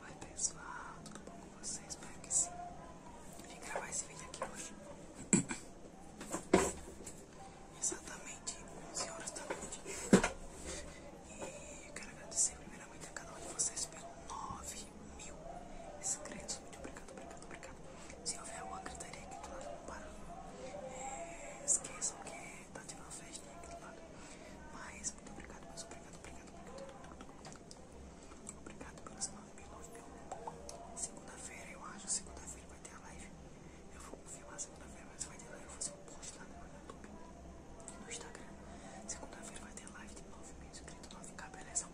Oi pessoal, tudo bom com vocês? Espero que sim. Vim gravar esse vídeo aqui hoje. Exatamente 11 horas da noite. E quero agradecer primeiramente a cada um de vocês pelos 9 mil inscritos. Muito obrigado, obrigado, obrigado. Se houver alguma gritaria aqui do lado, não para. É, esqueçam que tá tendo uma festa aqui do lado. Mas, muito obrigado, mas obrigado, obrigado, obrigado. Obrigado pelas 9 mil. Segunda-feira, eu acho, segunda-feira vai ter a live. Eu vou confirmar segunda-feira, mas vai ter live. Eu vou fazer um post lá no meu YouTube e no Instagram. Segunda-feira vai ter live de 9 mil inscritos, 9k, beleza?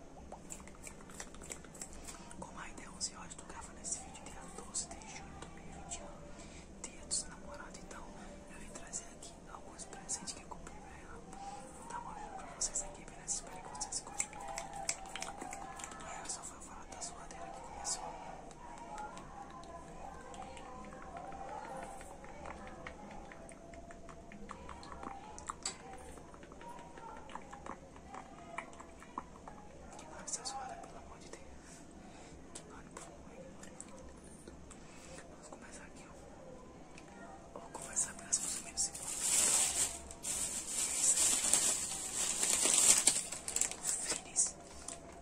Como ainda é 11 horas, estou gravando esse vídeo dia 12 de julho de 2021. Dia namorado então eu vim trazer aqui alguns presentes que eu comprei pra ela. Vou dar uma olhada pra vocês aqui, beleza? Espero que vocês gostem. E é, eu só vou falar da suadeira que começou. É que nossa suada, pelo amor de Deus. Vamos começar aqui, ó. Eu vou começar pelas coisas menos simples. Fênix.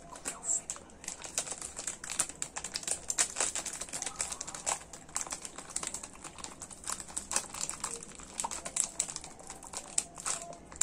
Comprei um fênix pra levar.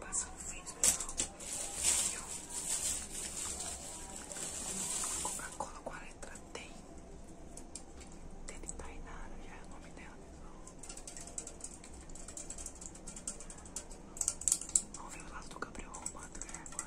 Passa um fim, pessoal. coca colo com a letra T. Tele Tainara, já é o nome dela, né? Vamos ver o lado do Gabriel arrumado, né, agora.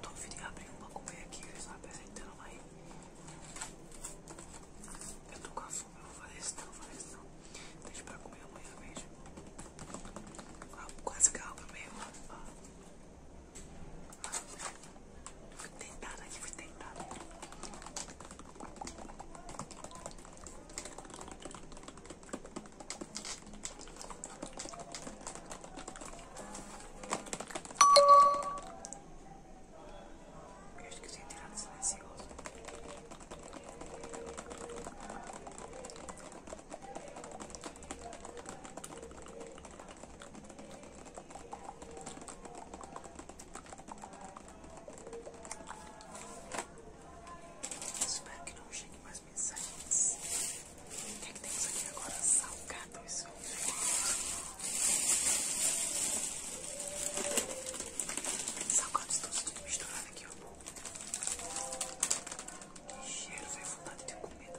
Tô vindo abrindo uma comer aqui, eles não apresentando aí. Eu tô com a fome, eu vou fazer isso não, vou fazer isso não. Deixa pra comer amanhã, beijo. Ah, quase calma mesmo. Ah. Fui tentada aqui, fui tentada. Eu acho que de tirar do silencioso. Espero que não chegue mais mensagens. O que, é que temos aqui agora? Salgado, isso Salgados todos tudo misturado aqui, ó. Que cheiro, velho, vontade de comer tá?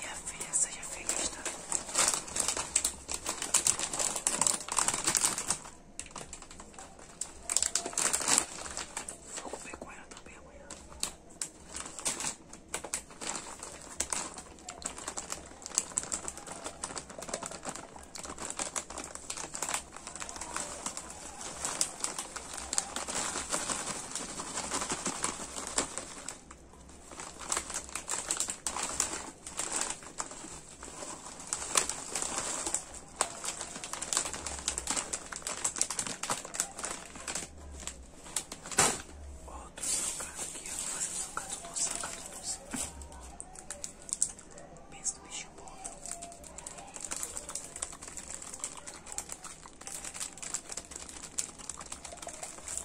Minha filha, seja feliz, tá? Vou comer com ela também amanhã. Outro socado aqui, eu vou fazer socado doce, socado doce. Pensa no bichinho bom.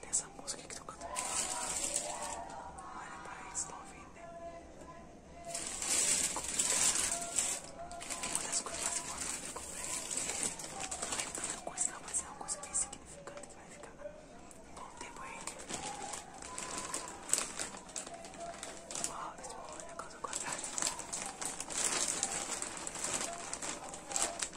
dessa música que tô cantando. Olha, país, tá ouvindo, né? É uma das coisas mais importantes que eu comprei. é tanta coisa, não, é uma coisa bem significante que vai ficar um bom tempo aí. olha a coisa contrária.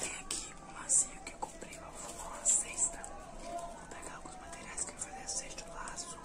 Tem aqui um lacinho que eu comprei pra formar uma cesta. Vou pegar alguns materiais que eu vou fazer a cesta, o laço.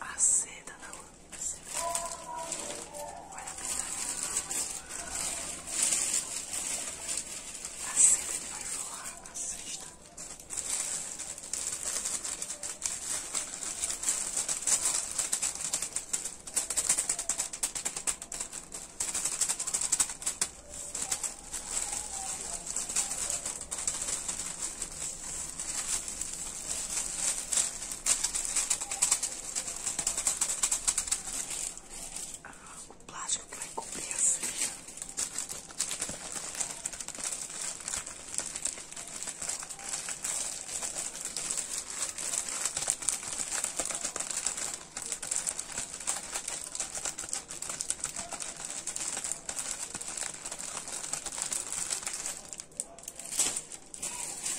A seda da lâmpada. Olha a pistola. A seda que vai forrar a cesta. Olha ah, o plástico que vai cobrir a ceia.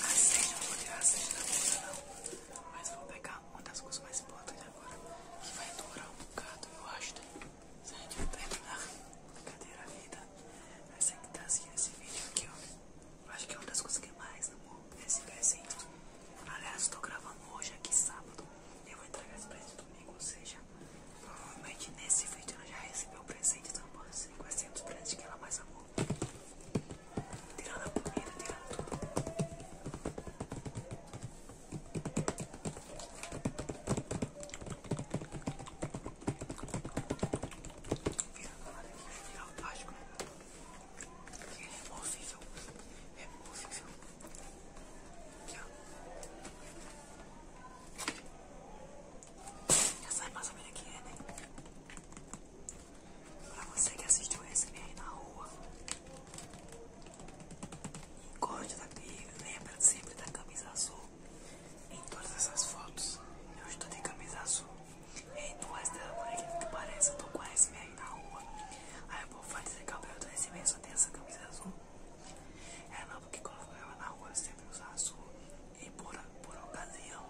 Aceite, não vou tirar aceite da mesa não, mas vou pegar uma das coisas mais importantes agora, que vai durar um bocado, eu acho, né? Se a gente vai terminar, brincadeira, vida, vai ser é que tá assim nesse vídeo aqui, ó. Eu acho que é uma das coisas que mais, amor, esse presente. Aliás, estou gravando hoje aqui sábado. Eu vou entregar esse presente domingo, ou seja, provavelmente nesse vídeo ela já recebeu o presente. Então pode ser presentes que ela mais amou. Tirando a comida, tirando tudo. Virando a hora que eu acho que que é removível, removível. Aqui, ó. Já sabe mais ou menos o que é, né? Pra você que assistiu esse aí na rua, gosta da briga, lembra sempre da camisa azul. Em todas essas fotos, eu estou de camisa azul. Em duas da manhã, que parece, eu tô com a SMR na rua. Aí eu vou fazer Gabriel do SMR, só tem essa camisa azul. É não, porque quando eu ficava na rua eu sempre usava azul. E por, por ocasião,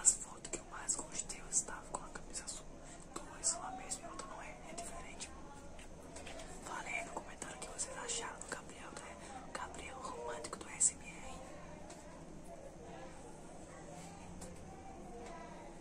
as fotos que eu mais gostei, eu estava com a camisa azul. Duas são a mesma e outra não é, é diferente. Falei no comentário o que vocês acharam do Gabriel, do né? Gabriel romântico do SMR.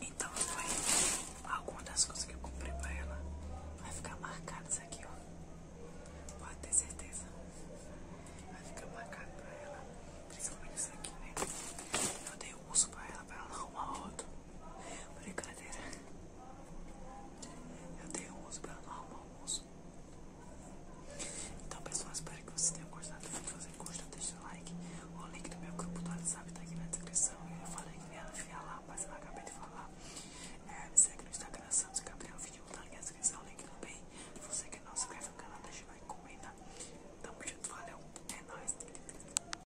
Então foi alguma das coisas que eu comprei pra ela vai ficar isso aqui, ó. Pode ter certeza. Vai ficar marcado pra ela. Principalmente isso aqui, né? Eu dei uso pra ela pra ela arrumar outro. Brincadeira. Eu tenho um uso para normal uso. Então, pessoal, espero que vocês tenham gostado. Se gostou, deixa o like. O link do meu grupo do WhatsApp tá aqui na descrição. Eu falei que ia enfiar lá, mas eu acabei de falar. É, me segue no Instagram, Santos Gabriel. O vídeo tá na descrição, o link também. Você que não se inscreve no canal, deixa o like, comenta. Tamo junto, valeu. É nóis.